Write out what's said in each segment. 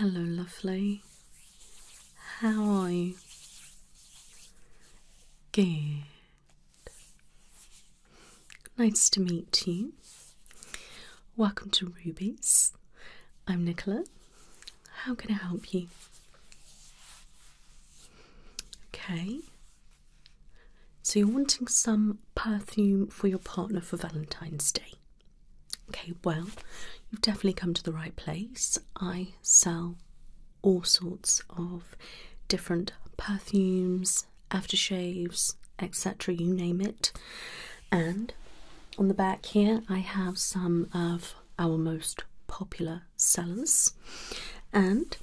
Hello, lovely. How are you? Good. Nice to meet you. Welcome to Ruby's. I'm Nicola. How can I help you? Okay. So you're wanting some perfume for your partner for Valentine's Day. Okay, well, you've definitely come to the right place. I sell all sorts of different perfumes, aftershaves, etc., you name it. And on the back here, I have some of our most popular sellers. And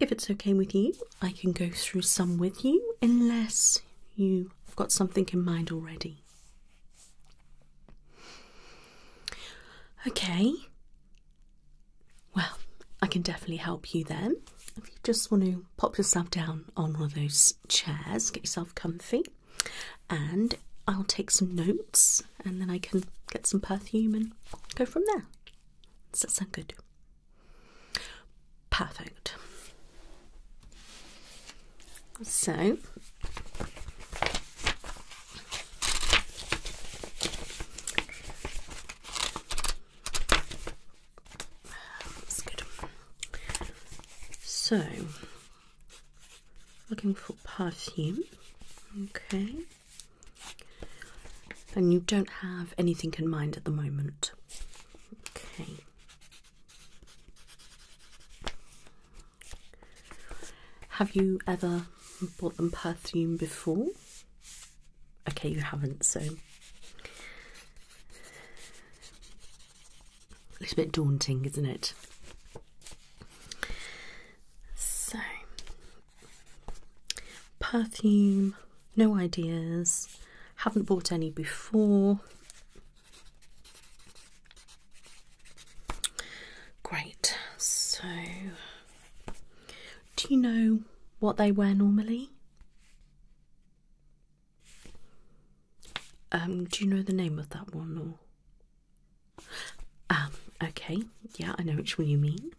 if it's okay with you, I can go through some with you, unless you've got something in mind already. Okay, well, I can definitely help you then. If you just want to pop yourself down on one of those chairs, get yourself comfy and I'll take some notes and then I can get some perfume and go from there. Does that sound good? Perfect. So So Looking for perfume. Okay. And you don't have anything in mind at the moment. Okay. Have you ever bought them perfume before? Okay, you haven't, so it's a bit daunting, isn't it? So, perfume, no ideas, haven't bought any before. Great, so do you know what they wear normally? Um, do you know the name of that one or? Um, okay, yeah, I know which one you mean.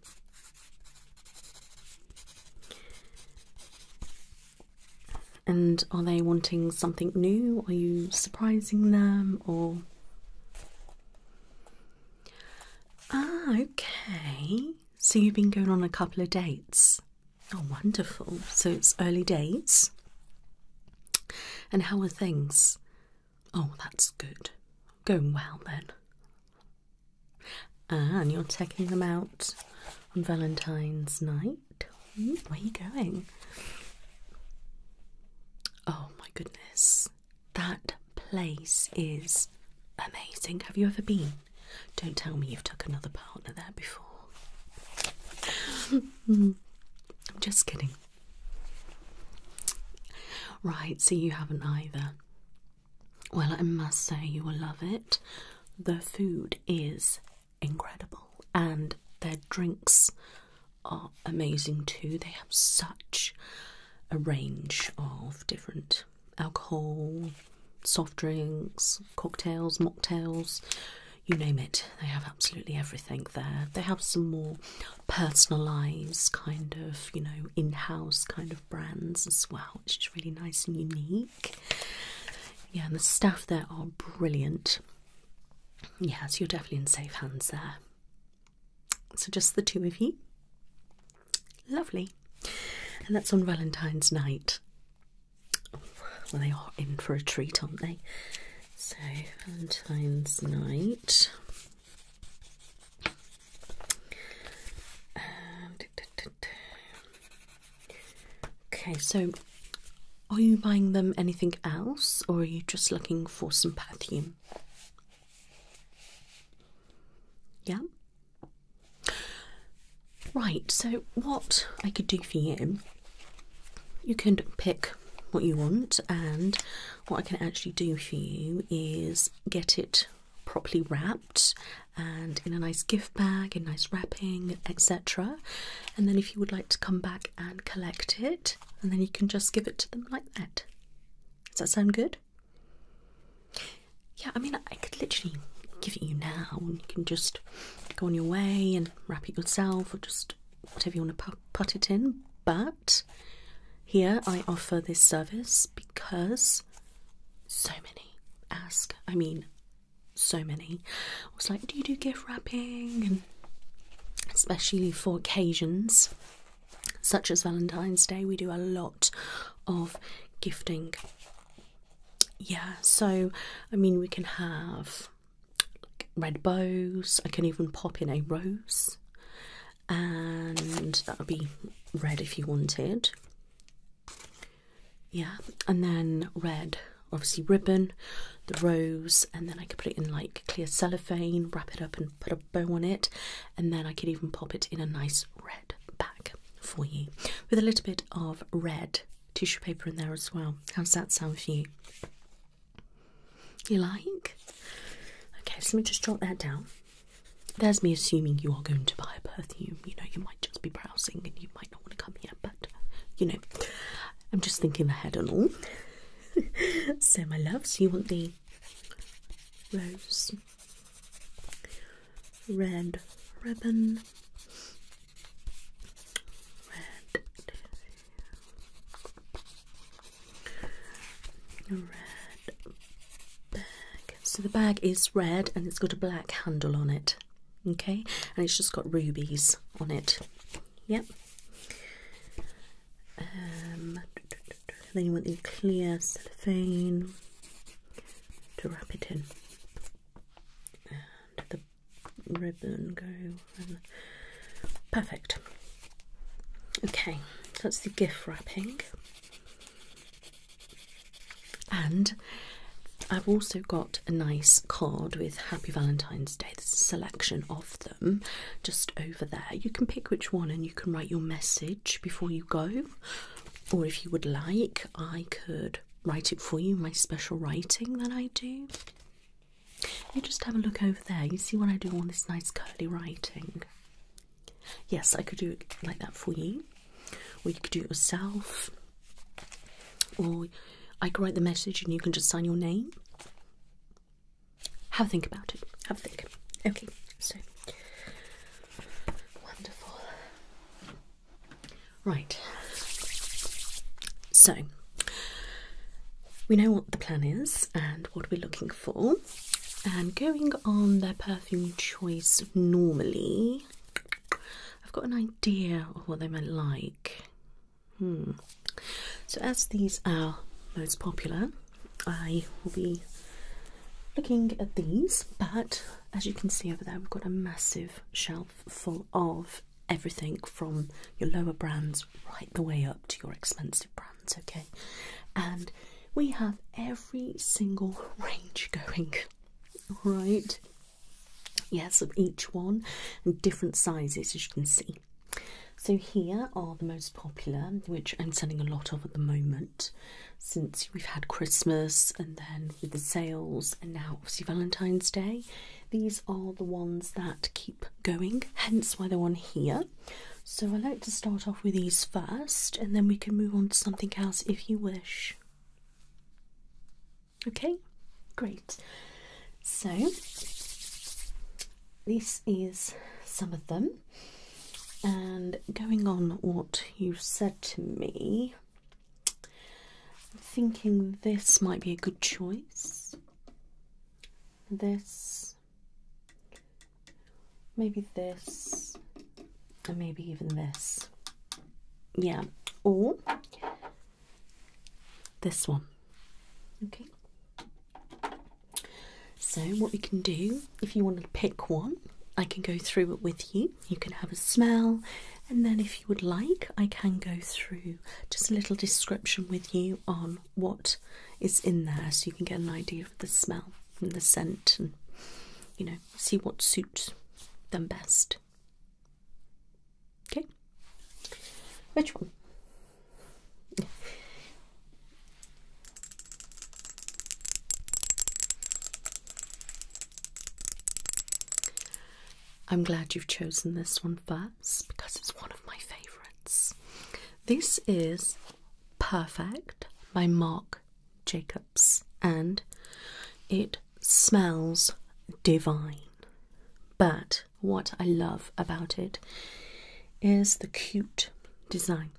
And are they wanting something new? Are you surprising them or? Ah, okay. So you've been going on a couple of dates. Oh, wonderful. So it's early dates. And how are things? Oh, that's good. Going well then. And you're taking them out on Valentine's night. Hmm, where are you going? Oh my goodness. That place is amazing. Have you ever been? Don't tell me you've took another partner there before. I'm just kidding. Right, so you haven't either. Well, I must say you will love it. The food is incredible, and their drinks are amazing too. They have such a range of different alcohol, soft drinks, cocktails, mocktails you name it. They have absolutely everything there. They have some more personalised kind of, you know, in-house kind of brands as well, which is really nice and unique. Yeah, and the staff there are brilliant. Yes, you're definitely in safe hands there. So just the two of you. Lovely. And that's on Valentine's night. well, they are in for a treat, aren't they? So, Valentine's night. Um, okay, so are you buying them anything else or are you just looking for some perfume? Yeah. Right, so what I could do for you, you can pick what you want and what I can actually do for you is get it properly wrapped and in a nice gift bag, in nice wrapping, etc. And then if you would like to come back and collect it, and then you can just give it to them like that. Does that sound good? Yeah, I mean, I could literally give it you now, and you can just go on your way and wrap it yourself, or just whatever you want to put it in. But here I offer this service because so many ask. I mean, so many. I was like, do you do gift wrapping? And especially for occasions such as Valentine's Day, we do a lot of gifting. Yeah, so I mean, we can have like red bows, I can even pop in a rose and that would be red if you wanted. Yeah, and then red, obviously ribbon, the rose, and then I could put it in like clear cellophane, wrap it up, and put a bow on it, and then I could even pop it in a nice red bag for you with a little bit of red tissue paper in there as well. How does that sound for you? You like? Okay, let me just jot that down. There's me assuming you are going to buy a perfume. You know, you might just be browsing and you might not want to come here, but you know, I'm just thinking ahead and all. so, my loves, you want the rose, red ribbon, red bag. So the bag is red and it's got a black handle on it. Okay, and it's just got rubies on it. Yep. Um, then you want the clear cellophane to wrap it in. And the ribbon go. Perfect. Okay, that's the gift wrapping. And I've also got a nice card with Happy Valentine's Day. There's a selection of them just over there. You can pick which one and you can write your message before you go. Or if you would like, I could write it for you, my special writing that I do. You just have a look over there. You see what I do all this nice curly writing. Yes, I could do it like that for you, or you could do it yourself, or I could write the message and you can just sign your name. Have a think about it. Have a think. Okay, so wonderful. Right. So we know what the plan is and what we're looking for. And going on their perfume choice normally, I've got an idea of what they might like. Hmm. So, as these are most popular, I will be looking at these. But as you can see over there, we've got a massive shelf full of everything from your lower brands right the way up to your expensive brands. It's okay? And we have every single range going, right? Yes, of each one and different sizes, as you can see. So, here are the most popular, which I'm selling a lot of at the moment since we've had Christmas and then with the sales, and now obviously Valentine's Day. These are the ones that keep going, hence why they're on here. So I like to start off with these first, and then we can move on to something else if you wish. Okay, great. So this is some of them, and going on what you said to me, I'm thinking this might be a good choice this, maybe this, and maybe even this. Yeah, or this one. Okay. So, what we can do, if you want to pick one, I can go through it with you. You can have a smell, and then if you would like, I can go through just a little description with you on what is in there so you can get an idea the smell and the scent and you know see what suits them best okay which one I'm glad you've chosen this one first because it's one of my favorites. This is Perfect by Marc Jacobs, and it smells divine. But what I love about it is the cute design.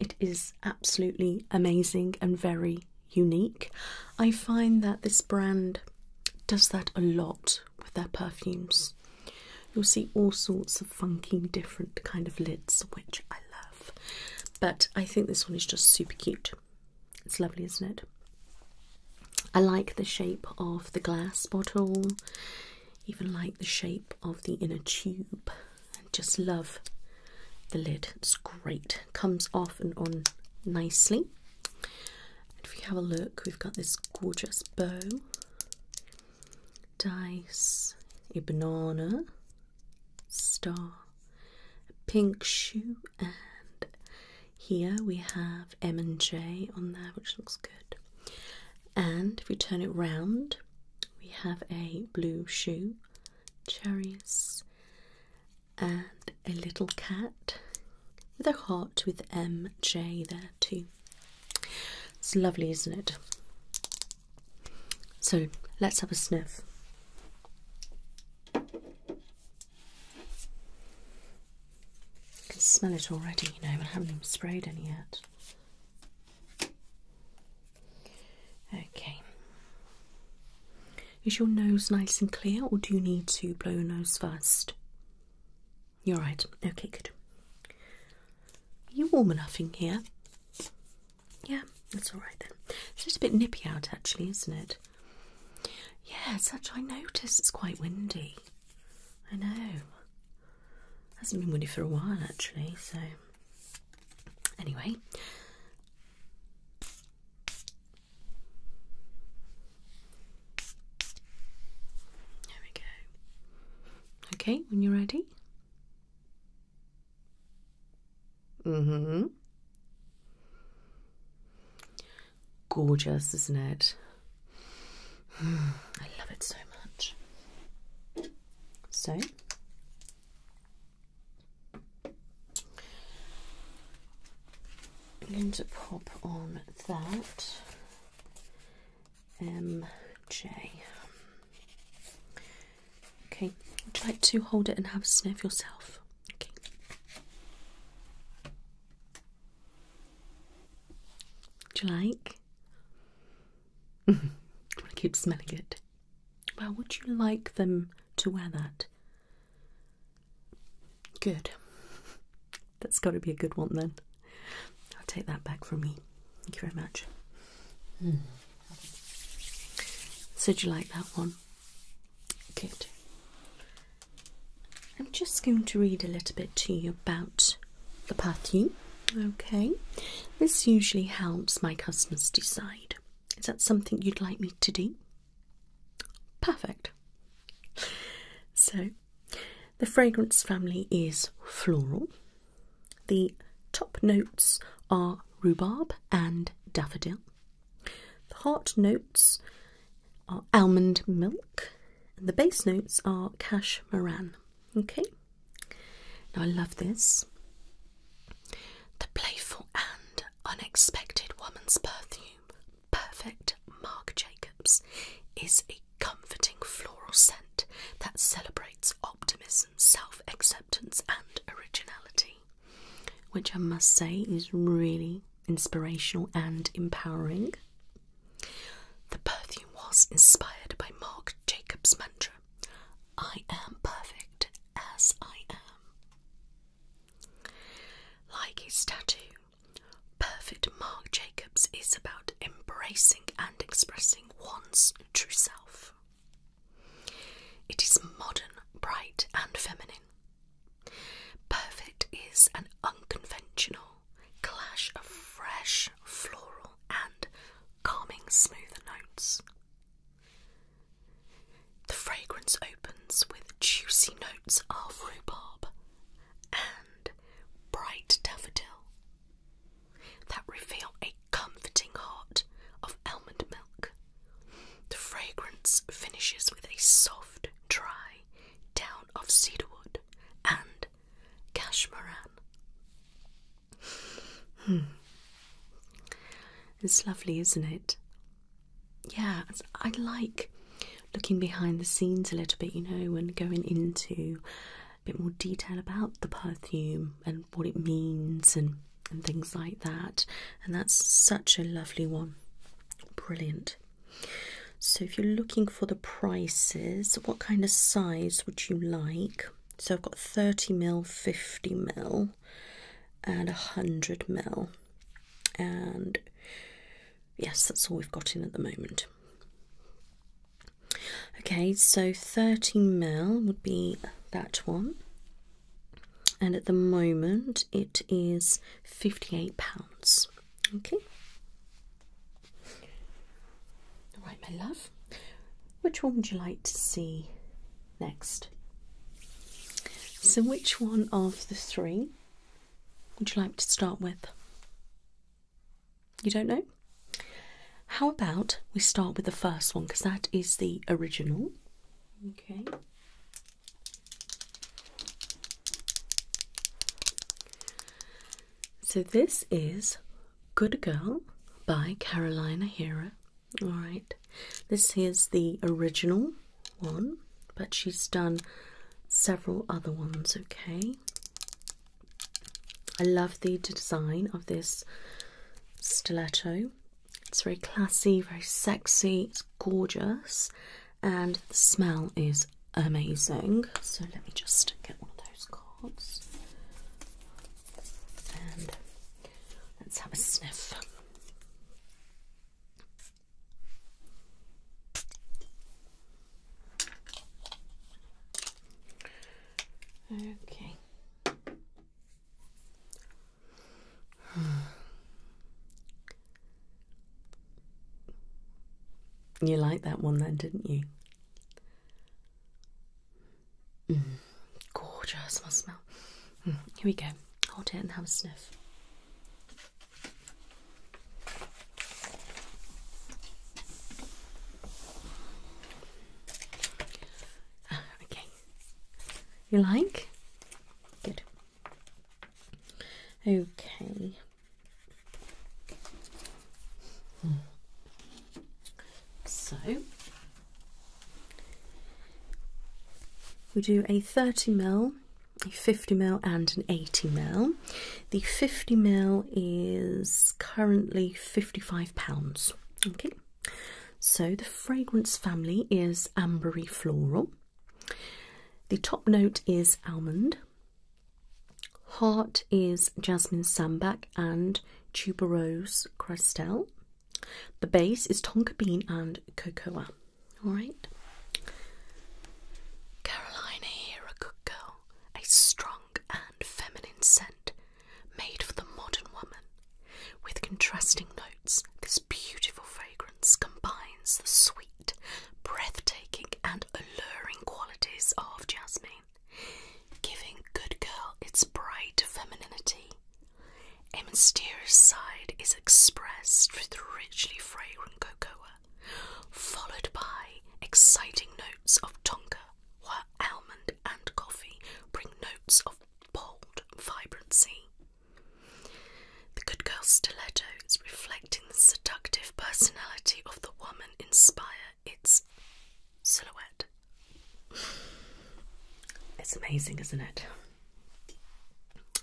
It is absolutely amazing and very unique. I find that this brand does that a lot with their perfumes. You'll see all sorts of funky, different kind of lids, which I love. But I think this one is just super cute. It's lovely, isn't it? I like the shape of the glass bottle, even like the shape of the inner tube. I just love the lid. It's great. Comes off and on nicely. If you have a look, we've got this gorgeous bow dice, a banana, star, pink shoe, and here we have M and J on there, which looks good. And if we turn it round, we have a blue shoe, cherries, and a little cat with a heart with M J there too. It's lovely, isn't it? So let's have a sniff. I can smell it already, you know, I haven't even sprayed any yet. Okay. Is your nose nice and clear, or do you need to blow your nose first? You're right. Okay, good. Are you warm enough in here? Yeah, that's all right then. It's a little bit nippy out, actually, isn't it? Yeah, it's actually, I noticed it's quite windy. I know. Hasn't been windy for a while, actually, so. Anyway. There we go. Okay, when you're ready hmm Gorgeous, isn't it? I love it so much. So I'm going to pop on that MJ. Okay, would you like to hold it and have a sniff yourself? Okay. Do you like? I want to keep smelling it. Well, would you like them to wear that? Good. That's got to be a good one then. I'll take that back from me. Thank you very much. Hmm. So, do you like that one? Good. I'm just going to read a little bit to you about the perfume. Okay, this usually helps my customers decide. Is that something you'd like me to do? Perfect. So, the fragrance family is floral, the top notes are rhubarb and daffodil. The heart notes are almond milk, and the base notes are cash moran. Okay, now I love this. The playful and unexpected woman's perfume, perfect Marc Jacobs, is a comforting floral scent that celebrates optimism self acceptance and originality, which I must say is really inspirational and empowering. The perfume was inspired by Marc Jacobs' mantra I am perfect as I am. Like his tattoo, Perfect Marc Jacobs is about embracing and expressing one's true self. It is modern, bright, and feminine. Perfect is an unconventional clash of fresh, floral, and calming, smoother notes. The fragrance opens with juicy notes of rhubarb and bright daffodil that reveal a comforting heart of almond milk. The fragrance finishes with a soft, dry down of cedarwood and cashmeran. Hmm. It's lovely, isn't it? Yeah, I like looking behind the scenes a little bit, you know, and going into a bit more detail about the perfume and what it means and and things like that. And that's such a lovely one. Brilliant. So, if you're looking for the prices, what kind of size would you like? So, I've got 30 mil, 50 mil, and 100 mil. And yes, that's all we've got in at the moment. Okay, so 30 mil would be that one, and at the moment it is £58. Okay, all right, my love. Which one would you like to see next? So, which one of the three would you like to start with? You don't know? How about we start with the first one because that is the original? Okay. So this is Good Girl by Carolina Hera. All right. This is the original one, but she's done several other ones, okay? I love the design of this stiletto it's very classy, very sexy, it's gorgeous, and the smell is amazing. So let me just get one of those cards and let's have a sniff. Okay. You liked that one then, didn't you? Mm, gorgeous, smell. Mm, here we go. Hold it and have a sniff. Ah, okay, you like? Good. Okay. So we do a 30 mil, a 50 mil, and an 80 mil. The 50 mil is currently 55 pounds. Okay. So, the fragrance family is ambery floral. The top note is almond. Heart is jasmine sandback and tuberose crestel. The base is tonka bean and cocoa. All right. Carolina here, a good girl, a strong and feminine scent made for the modern woman. With contrasting notes, this beautiful fragrance combines the sweet, breathtaking, and alluring qualities of jasmine, giving Good Girl its bright femininity. A mysterious side is expressed through richly fragrant cocoa, followed by exciting notes of tonka, while almond and coffee bring notes of bold vibrancy. The good girl stilettos, reflecting the seductive personality of the woman, inspire its silhouette. It's amazing, isn't it?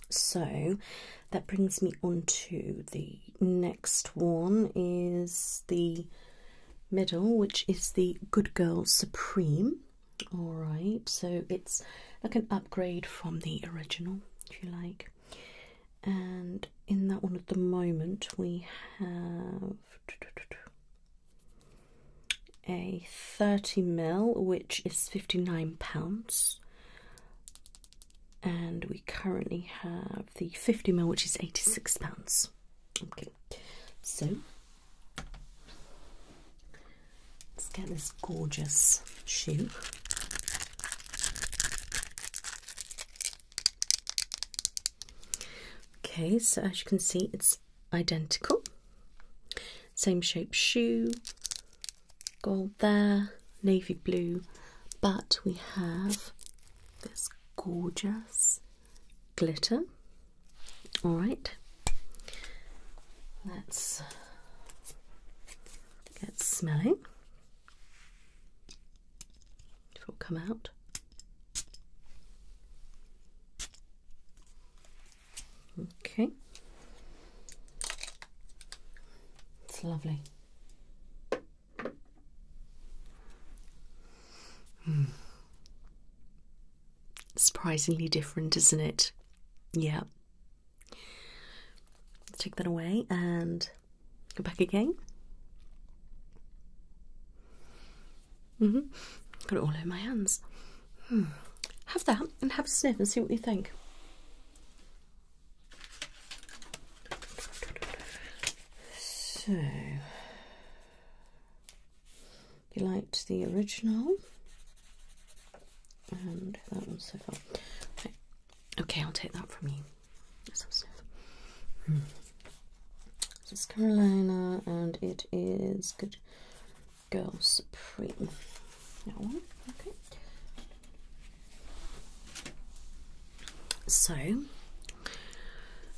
So that brings me on to the next one is the middle, which is the Good Girl Supreme. Alright, so it's like an upgrade from the original, if you like. And in that one at the moment, we have a 30 mil, which is £59. And we currently have the 50 mil, which is £86. Okay, so Let's get this gorgeous shoe. Okay, so as you can see, it's identical. Same shape shoe, gold there, navy blue, but we have this gorgeous glitter. All right, let's get smelling. It will come out. Okay, it's lovely. Mm. Surprisingly different, isn't it? Yeah. Take that away and go back again. Mm hmm. Got it all in my hands. Hmm. Have that and have a sniff and see what you think. So you liked the original, and that one's so far. Okay, I'll take that from you. Let's hmm. This is Carolina, and it is Good Girl Supreme. That one, okay. So,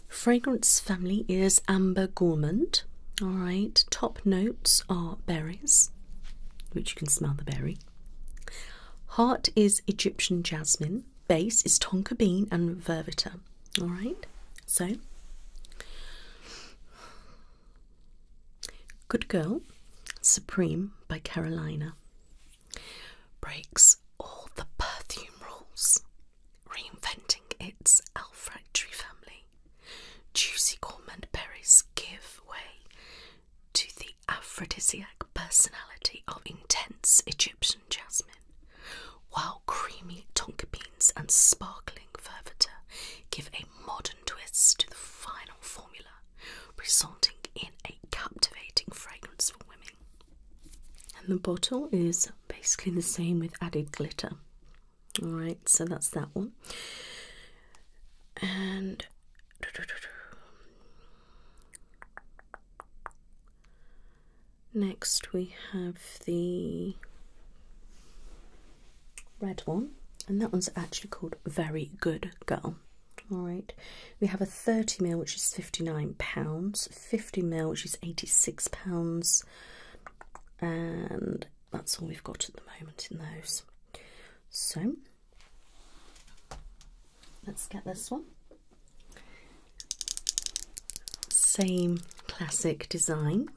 Fragrance Family is Amber Gourmand. All right, top notes are berries, which you can smell the berry. Heart is Egyptian jasmine, base is tonka bean and vervita. All right, so Good Girl Supreme by Carolina breaks all the perfume rules, reinventing its olfactory family Juicy almond berries give way to the aphrodisiac personality of intense Egyptian jasmine, while creamy tonka beans and sparkling verveter give a modern twist to the final formula, resulting in a captivating fragrance for women. And the bottle is basically the same with added glitter. All right, so that's that one. And next we have the red one, and that one's actually called Very Good Girl. All right, we have a 30 mil which is 59 pounds, 50 mil which is 86 pounds, and that's all we've got at the moment in those. So let's get this one. Same classic design,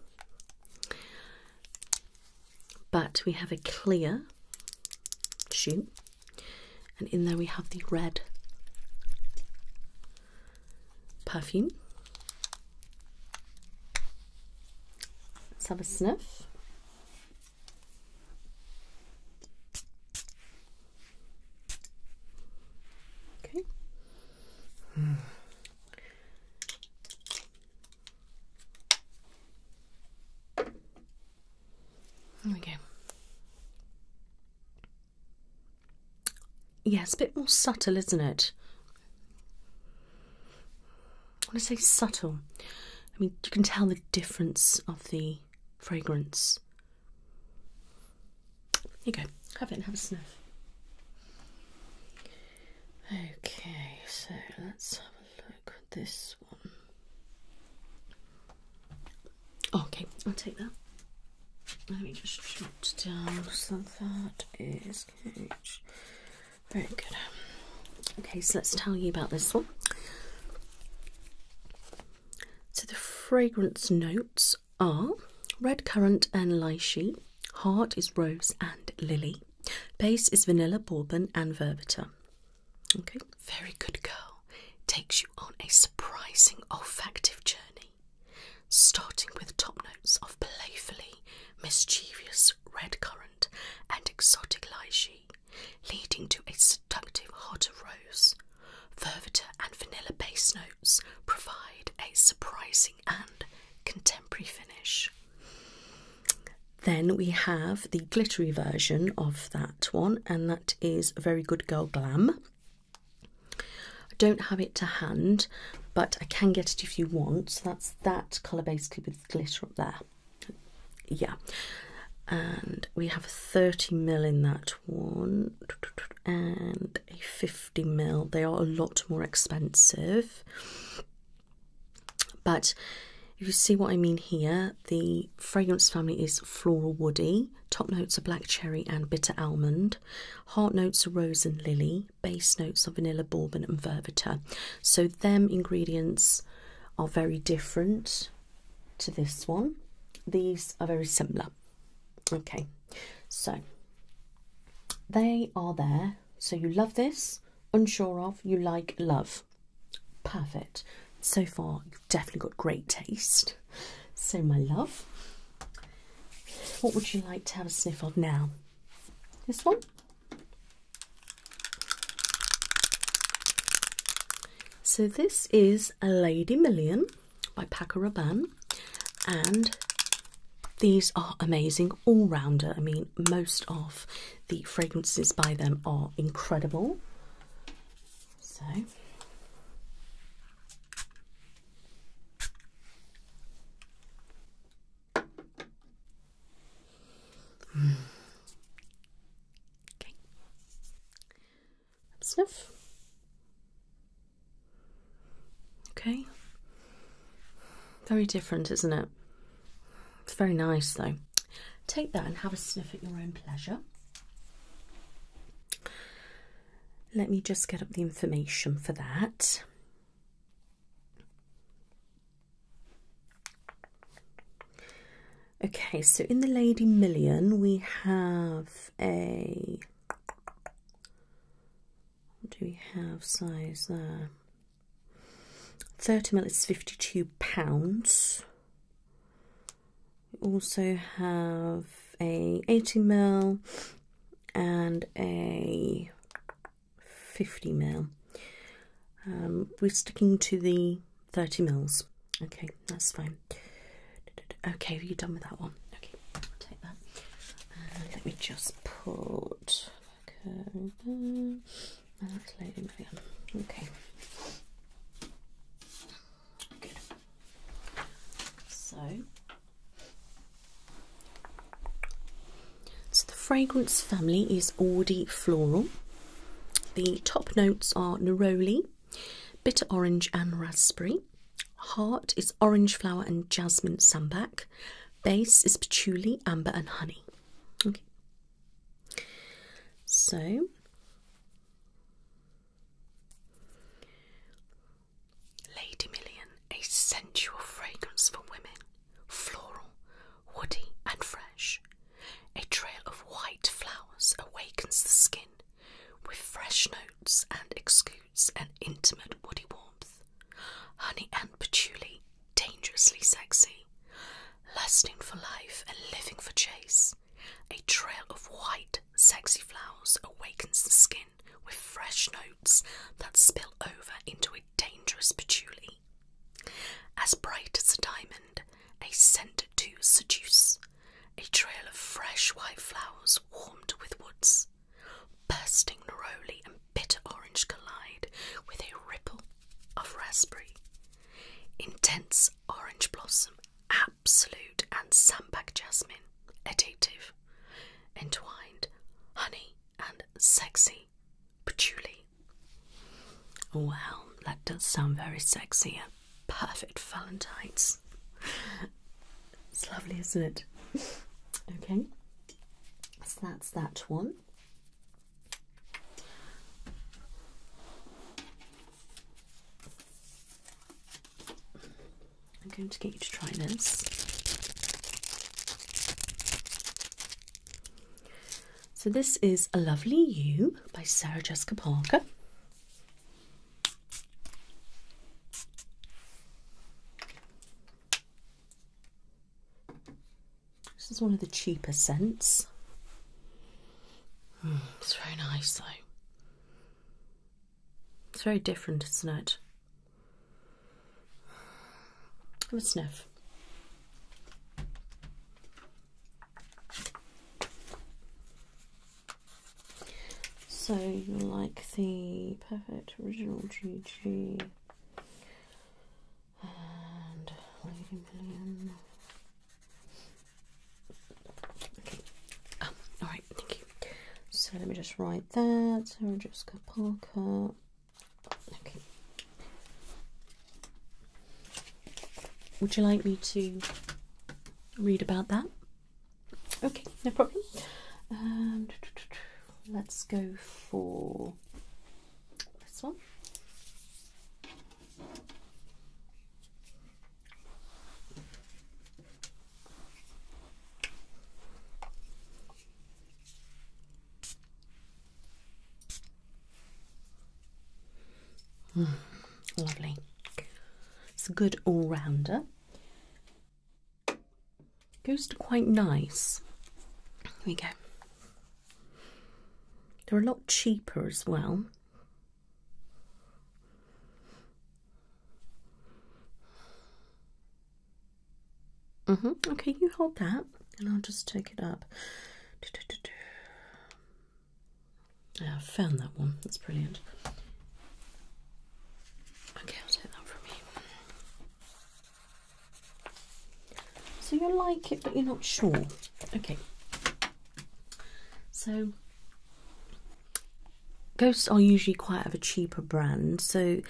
but we have a clear shoe, and in there we have the red perfume Let's have a sniff. Okay. Mm. Okay. Yeah, it's a bit more subtle, isn't it? I When to say subtle, I mean you can tell the difference of the fragrance. Here you go, have it and have a sniff. Okay, so let's have a look at this one. Oh, okay, I'll take that. Let me just shut down so that is cage very good. Okay, so let's tell you about this one. So the fragrance notes are red currant and lychee, heart is rose and lily, base is vanilla, bourbon, and verveter. Okay, very good girl. Takes you on a surprising olfactive journey, starting with top notes of playfully mischievous red currant, and exotic lychee, leading to a seductive hot rose. Verveter and vanilla base notes provide a surprising and contemporary finish. Then we have the glittery version of that one, and that is Very Good Girl Glam. I don't have it to hand, but I can get it if you want. that's that colour basically with glitter up there. Yeah, and we have a 30 mil in that one and a 50 mil. They are a lot more expensive, but if you see what I mean here, the fragrance family is floral woody. Top notes are black cherry and bitter almond. Heart notes are rose and lily base notes of vanilla, bourbon, and verbiter, So, them ingredients are very different to this one. These are very similar. Okay, so they are there. So, you love this, unsure of, you like, love. Perfect. So far, you've definitely got great taste. So, my love, what would you like to have a sniff of now? This one? So this is A Lady Million by Paco Rabanne and these are amazing all-rounder. I mean, most of the fragrances by them are incredible. So Okay. Sniff. Okay. Very different, isn't it? It's very nice though. Take that and have a sniff at your own pleasure. Let me just get up the information for that. Okay, so in the Lady Million, we have a. do we have size there? Uh, 30 mil is 52 pounds. We also have a 80 mil and a 50 mil. Um, we're sticking to the 30 mils. Okay, that's fine. Okay, are you done with that one? Okay, take that. let me just put okay, that's loading there. Okay. Good. So so, the fragrance family is Floral. The top notes are neroli, bitter orange, and raspberry. Heart is orange flower and jasmine sambac. Base is patchouli, amber, and honey. Okay. So, Lady Million, a sensual fragrance for women floral, woody, and fresh. A trail of white flowers awakens the skin with fresh notes and exudes an intimate woody warmth. Honey and patchouli, dangerously sexy, lusting for life and living for chase. A trail of white, sexy flowers awakens the skin with fresh notes that spill over into a dangerous patchouli. As bright as a diamond, a scent to seduce, a trail of fresh white flowers warmed with woods, bursting neroli and bitter orange collide with a ripple of raspberry. Intense orange blossom, absolute and sandbag jasmine, addictive, entwined, honey and sexy patchouli. Well, that does sound very sexy. and perfect Valentine's. It's lovely, isn't it? Okay, so that's that one. I'm going to get you to try this. So, this is A Lovely You by Sarah Jessica Parker. This is one of the cheaper scents. Hmm, it's very nice though. It's very different, isn't it? I'm a sniff. So you like the perfect original GG and Lady Million. Okay. Um, ah, all right, thank you. So let me just write that. So Jessica Parker. Would you like me to read about that? Okay, no problem. Um, let's go for this one. lovely. It's a good all rounder. Goes to quite nice. Here we go. They're a lot cheaper as well. Mm-hmm. Okay, you hold that, and I'll just take it up. I found that one. That's brilliant. Okay, I'll take that from you. So you like it, but you're not sure. Okay. So ghosts are usually quite of a cheaper brand. So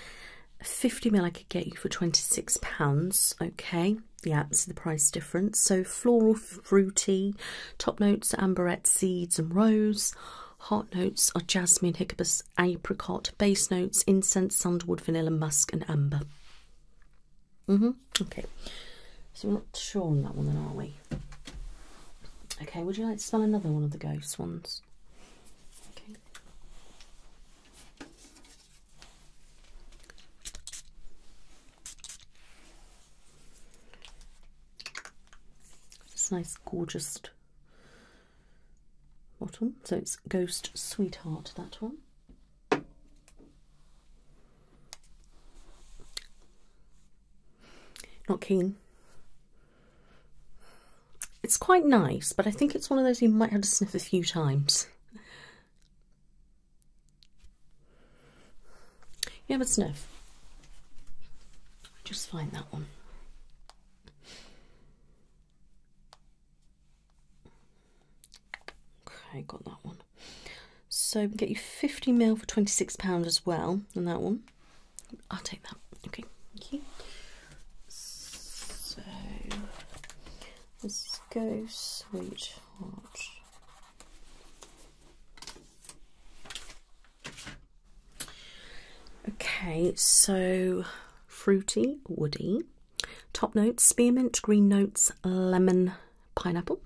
50 mil I could get you for 26 pounds. Okay yeah, see the price difference. So floral, fruity, top notes are amberette, seeds and rose. Heart notes are jasmine, hiccuppus, apricot. Base notes, incense, sandalwood, vanilla, musk and amber. Mm-hmm. Okay. So we're not sure on that one then, are we? Okay, would you like to smell another one of the ghost ones? Okay. This nice, gorgeous bottom. So it's Ghost Sweetheart, that one. Not keen. It's quite nice, but I think it's one of those you might have to sniff a few times. Yeah, but sniff. Just find that one. Okay, got that one. So get you 50 mil for 26 pound as well on that one. I'll take that. Okay. Thank you. So Let's go, sweetheart. Okay, so fruity, woody. Top notes spearmint, green notes, lemon, pineapple.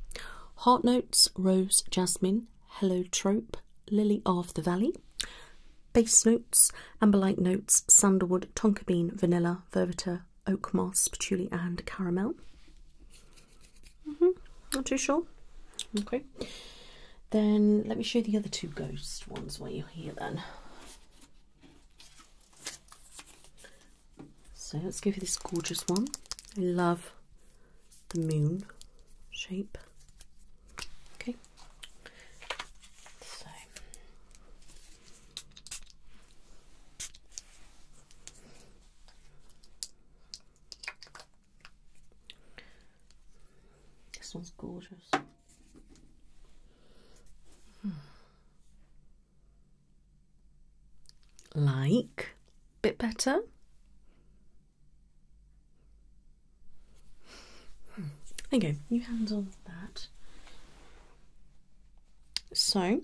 Heart notes rose, jasmine, heliotrope, lily of the valley. Base notes amberlight notes, sandalwood, tonka bean, vanilla, verveter, oak moss, patchouli, and caramel. Mm-hmm. Not too sure. Okay. Then let me show you the other two ghost ones while you're here then. So let's go for this gorgeous one. I love the moon shape. Okay. So this one's gorgeous. Like, bit better. Okay, hmm. you go. You handle that. So,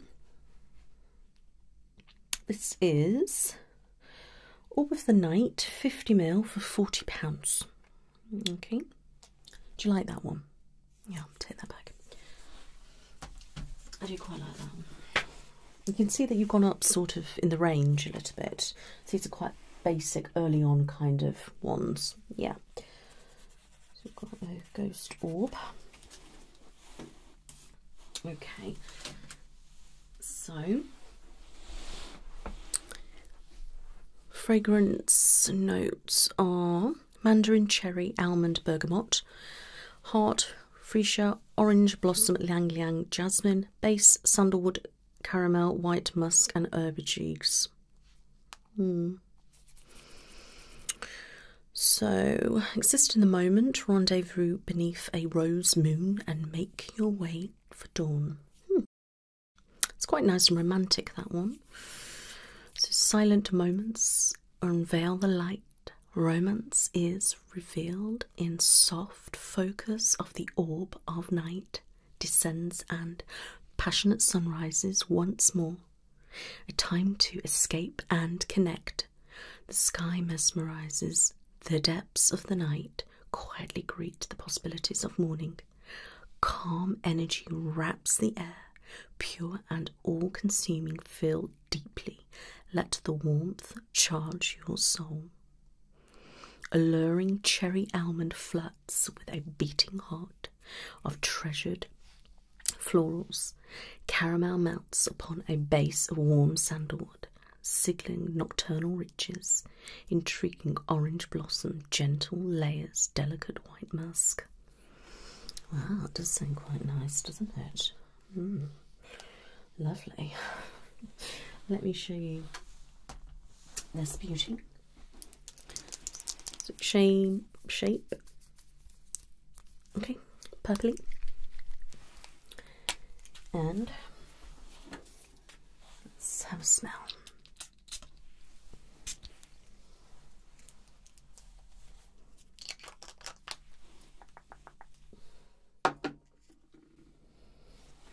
this is Orb of the knight 50 mil for £40. Okay. Do you like that one? Yeah, I'll take that back. I do quite like that one. You can see that you've gone up sort of in the range a little bit. So these are quite basic early on kind of ones. Yeah. So we've got the ghost orb. Okay, so fragrance notes are mandarin cherry, almond, bergamot, heart, freesia, orange blossom, liang liang, jasmine, base, sandalwood, caramel, white musk, and herbiges. Hmm. So, exist in the moment, rendezvous beneath a rose moon, and make your way for dawn. Hmm. It's quite nice and romantic, that one. So, silent moments unveil the light. Romance is revealed in soft focus of the orb of night, descends, and passionate sun rises once more a time to escape and connect. The sky mesmerizes, the depths of the night quietly greet the possibilities of morning. Calm energy wraps the air, pure and all consuming, feel deeply. Let the warmth charge your soul. Alluring cherry almond flirts with a beating heart of treasured florals, caramel melts upon a base of warm sandalwood, signaling nocturnal riches, intriguing orange blossom, gentle layers, delicate white musk. Wow, that does sound quite nice, doesn't it? Hmm. lovely. Let me show you this beauty. So shape, shape Okay, purpley. And let's have a smell.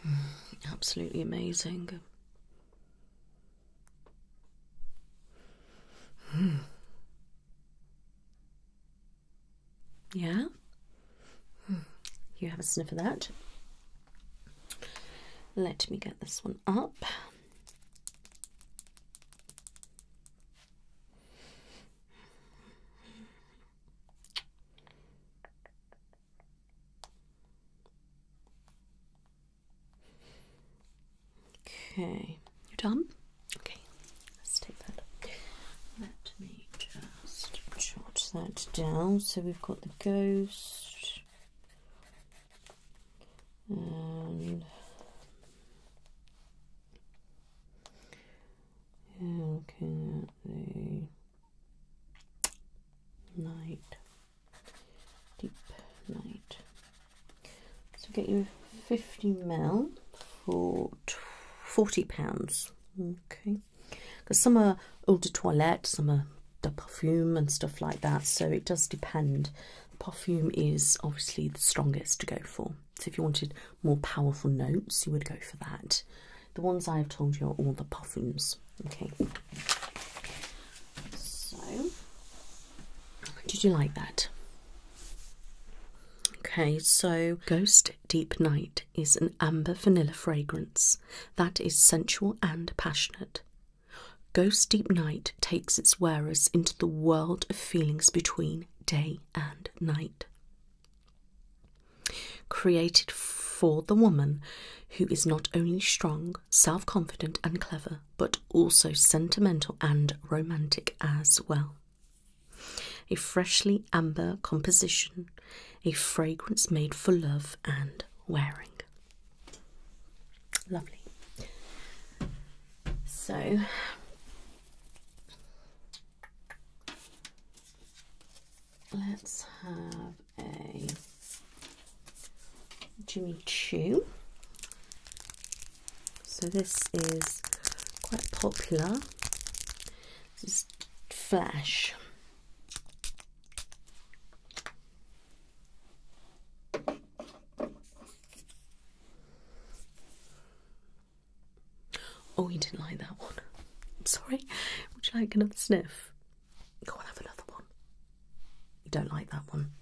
Mm, absolutely amazing. Mm. Yeah? Mm. You have a sniff of that. Let me get this one up. Okay, you're done? Okay, let's take that. Let me just jot that down. So we've got the ghost and yeah, looking at the night, deep night. So get you 50 ml for 40 pounds. Okay, because some are eau de toilette, some are the perfume and stuff like that. So it does depend. Perfume is obviously the strongest to go for. So if you wanted more powerful notes, you would go for that. The ones I have told you are all the perfumes. Okay. So did you like that? Okay, so Ghost Deep Night is an amber vanilla fragrance that is sensual and passionate. Ghost Deep Night takes its wearers into the world of feelings between day and night. Created for the woman who is not only strong, self confident, and clever, but also sentimental and romantic as well. A freshly amber composition, a fragrance made for love and wearing. Lovely. So. Let's have a Jimmy Choo. So this is quite popular. This is Flash. Oh, you didn't like that one. sorry. Would you like another sniff? Go on, have another one. You don't like that one.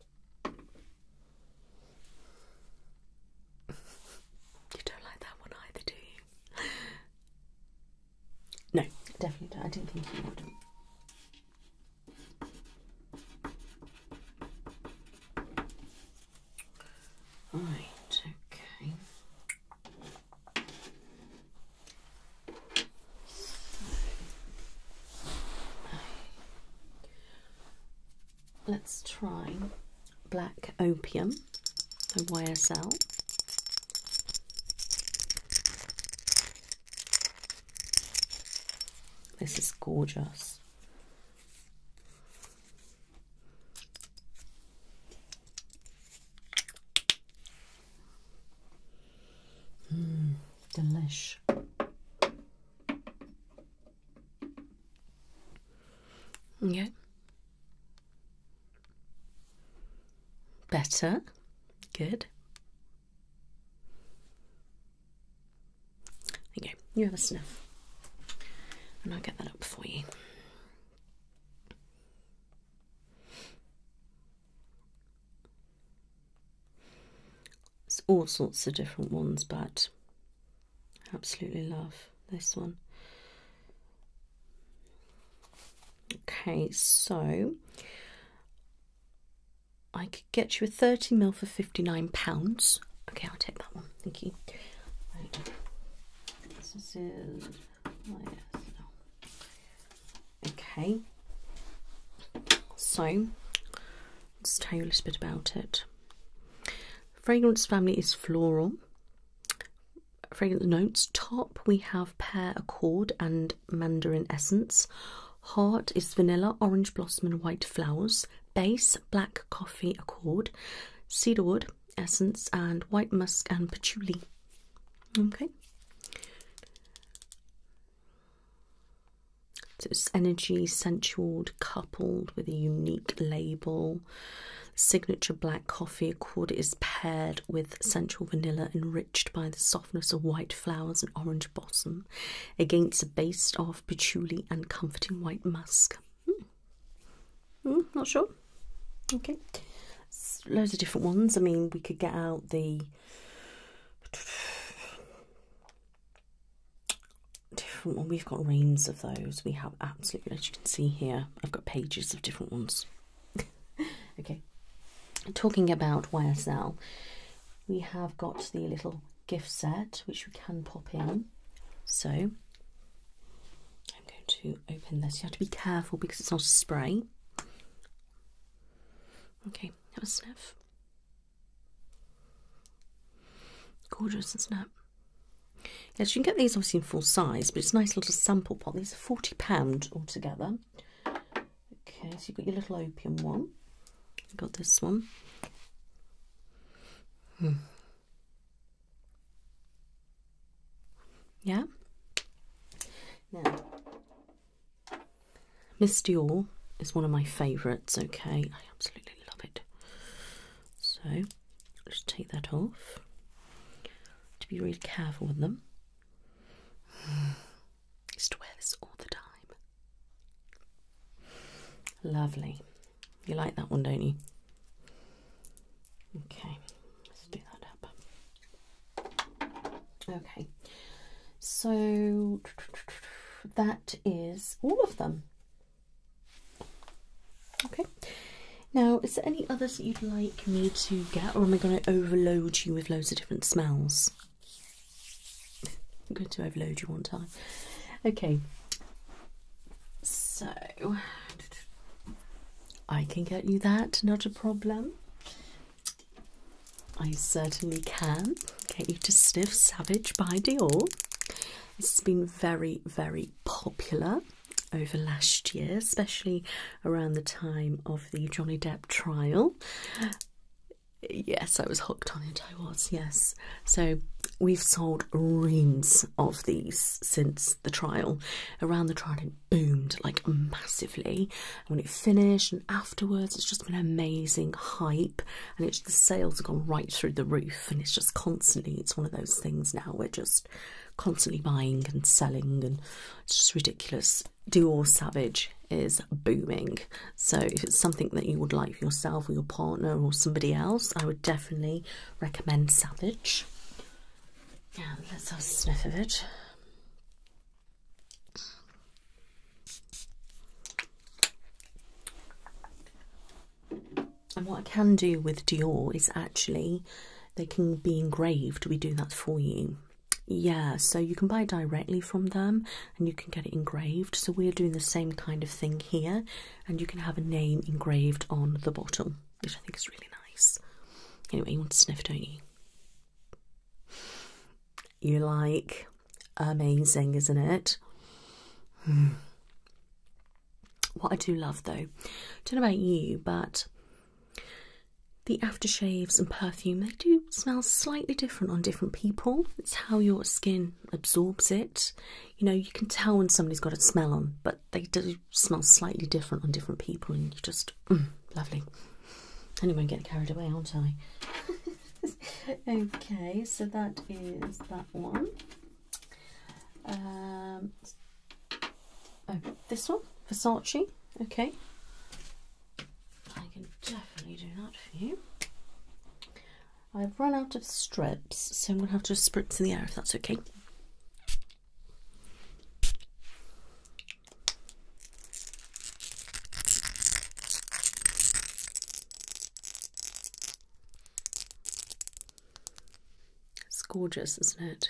You don't like that one either, do you? no, definitely not I didn't think you would. Right, okay. Let's try black opium, the YSL. This is gorgeous. Mm, delish. Okay. Better. Good. Okay, You have a sniff. And I'll get that up for you. It's all sorts of different ones, but absolutely love this one. Okay, so I could get you a 30 mil for 59 pounds. Okay, I'll take that one. Thank you. Uh, okay. So Let's tell you a little bit about it. Fragrance family is floral. Fragrance notes top we have pear accord and mandarin essence. Heart is vanilla, orange blossom, and white flowers. Base black coffee accord, cedarwood essence, and white musk and patchouli. Okay. So it's energy sensual coupled with a unique label. Signature black coffee accord is paired with sensual vanilla enriched by the softness of white flowers and orange blossom against a base of patchouli and comforting white musk. Hmm. Hmm, not sure. Okay. loads of different ones. I mean, we could get out the different one. We've got reams of those. We have absolutely, as you can see here, I've got pages of different ones. okay, talking about YSL, we have got the little gift set which we can pop in. So I'm going to open this. You have to be careful because it's not a spray. Okay, have a sniff. Gorgeous, isn't it? Yes, you can get these obviously in full size, but it's a nice little sample pot. These are £40 altogether. Okay, so you've got your little opium one. you got this one. Hmm. Yeah? Misty Dior is one of my favourites, okay? I absolutely love it. So, just take that off. To be really careful with them. used to wear this all the time. Lovely. You like that one, don't you? Okay, let's do that up. Okay. So that is all of them. Okay. Now, is there any others that you'd like me to get, or am I going to overload you with loads of different smells? I'm going to overload you one time. Okay. So, I can get you that, not a problem. I certainly can get you to sniff Savage by Dior. This has been very, very popular over last year, especially around the time of the Johnny Depp trial. Yes, I was hooked on it, I was, yes. So we've sold reams of these since the trial. Around the trial, it boomed like massively. when it finished and afterwards, it's just been an amazing hype and it's the sales have gone right through the roof and it's just constantly it's one of those things now we're just constantly buying and selling and it's just ridiculous Dior Savage is booming so if it's something that you would like for yourself or your partner or somebody else I would definitely recommend Savage yeah let's have a sniff of it and what I can do with Dior is actually they can be engraved. We do that for you. Yeah, so you can buy directly from them and you can get it engraved. So we're doing the same kind of thing here and you can have a name engraved on the bottom, which I think is really nice. Anyway, you want to sniff, don't you? you like. Amazing, isn't it? Hmm. What I do love though, don't know about you, but the aftershaves and perfume, they do smell slightly different on different people. It's how your skin absorbs it. You know, you can tell when somebody's got a smell on, but they do smell slightly different on different people and you just, mm, lovely. Anyway, I'm getting carried away, aren't I? okay, so that is that one. Um, oh, this one, Versace. Okay, I can definitely do that for you. I've run out of strips, so I'm going to have to spritz in the air if that's okay. It's gorgeous, isn't it?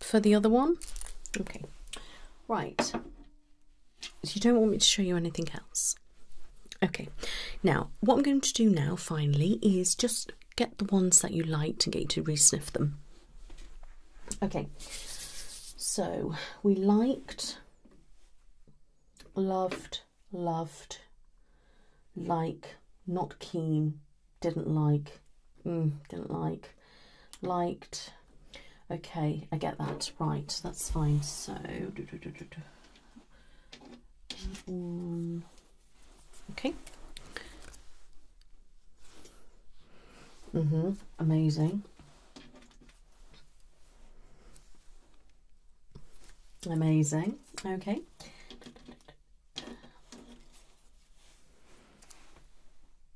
For the other one? Okay. Right. You don't want me to show you anything else. Okay. Now, what I'm going to do now, finally, is just get the ones that you liked and get you to resniff them. Okay, so we liked, loved, loved, like, not keen, didn't like, mm, didn't like, liked. Okay, I get that. Right, that's fine. So, mm, okay. Mm-hmm. Amazing. Amazing. Okay.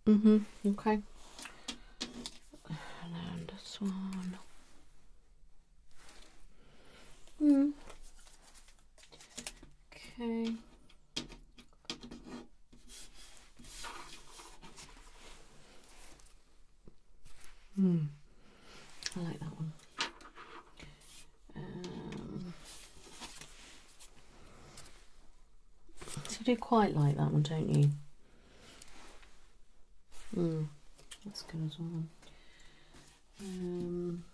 Mm-hmm. Okay. And this one. Hmm. Okay. Hmm. I like that one. Um, so do quite like that one, don't you? Hmm. That's good as well. Um.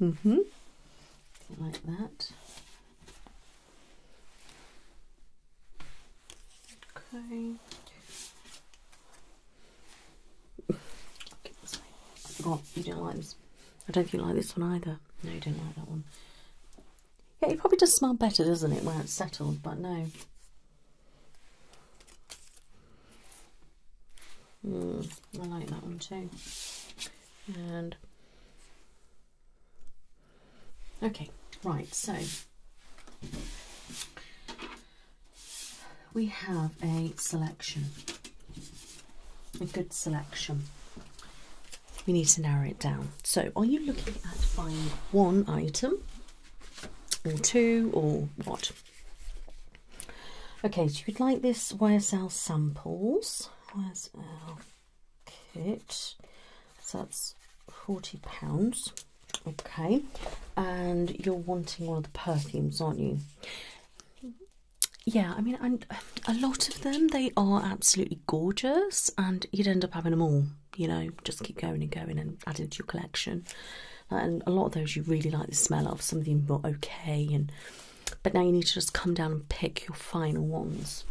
Mhm. Mm like that. Okay. Oh, you don't like this. I don't think you like this one either. No, you don't like that one. Yeah, it probably does smell better, doesn't it, when it's settled, but no. Mm, I like that one too and okay right so we have a selection a good selection we need to narrow it down so are you looking at buying one item or two or what okay so you'd like this ysl samples kit. So that's £40. Okay. And you're wanting one of the perfumes, aren't you? Yeah, I mean, a lot of them, they are absolutely gorgeous, and you'd end up having them all, you know, just keep going and going and adding to your collection. And a lot of those you really like the smell of, some of them are okay, and but now you need to just come down and pick your final ones.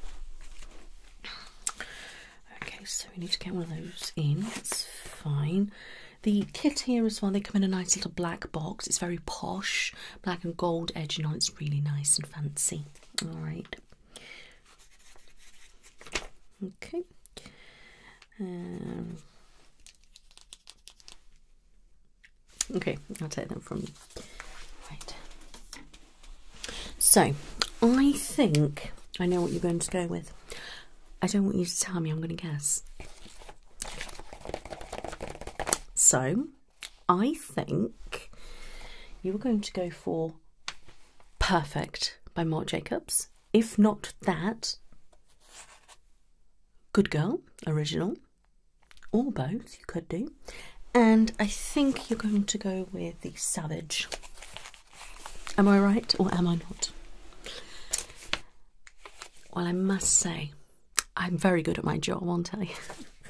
Okay, so we need to get one of those in. It's fine. The kit here as well, they come in a nice little black box. It's very posh, black and gold edging on. It's really nice and fancy. All right. Okay. Um, Okay, I'll take them from you. Right. So, I think I know what you're going to go with. I don't want you to tell me, I'm going to guess. So, I think you are going to go for Perfect by Marc Jacobs. If not that, Good Girl, original or both, you could do. And I think you're going to go with the Savage. Am I right or am I not? Well, I must say, I'm very good at my job, aren't I?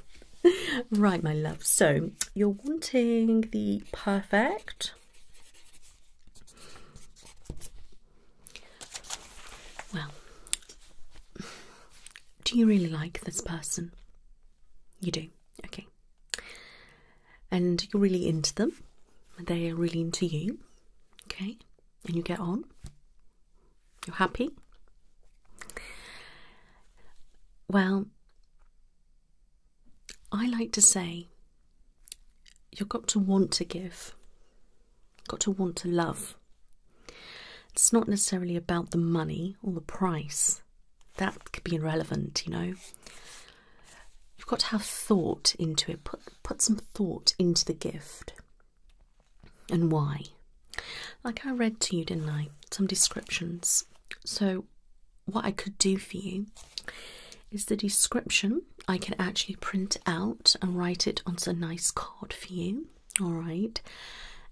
right, my love. So, you're wanting the perfect. Well, do you really like this person? You do? Okay. And you're really into them. They are really into you. Okay. And you get on. You're happy. Well, I like to say you've got to want to give, got to want to love, it's not necessarily about the money or the price. That could be irrelevant, you know. You've got to have thought into it. Put put some thought into the gift. And why? Like I read to you, didn't I? Some descriptions. So what I could do for you is the description I can actually print out and write it onto a nice card for you alright,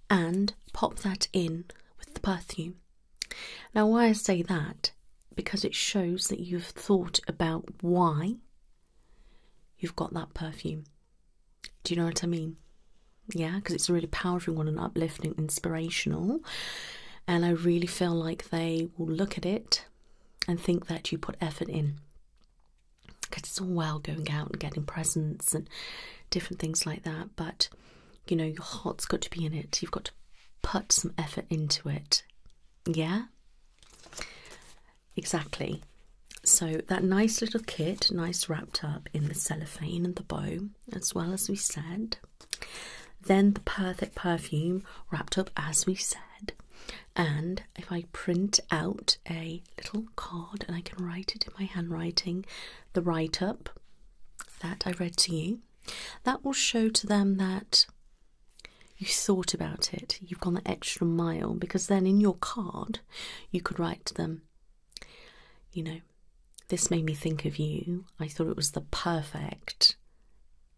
and pop that in with the perfume. Now, why I say that, because it shows that you've thought about why you've got that perfume. Do you know what I mean? Yeah, because it's a really powerful one and uplifting, inspirational. And I really feel like they will look at it and think that you put effort in. Because it's all well going out and getting presents and different things like that but you know, your heart's got to be in it. You've got to put some effort into it. Yeah? Exactly. So, that nice little kit, nice wrapped up in the cellophane and the bow, as well as we said. Then the perfect perfume wrapped up as we said. And if I print out a little card and I can write it in my handwriting the write up that I read to you, that will show to them that you thought about it, you've gone the extra mile, because then in your card you could write to them, you know, this made me think of you, I thought it was the perfect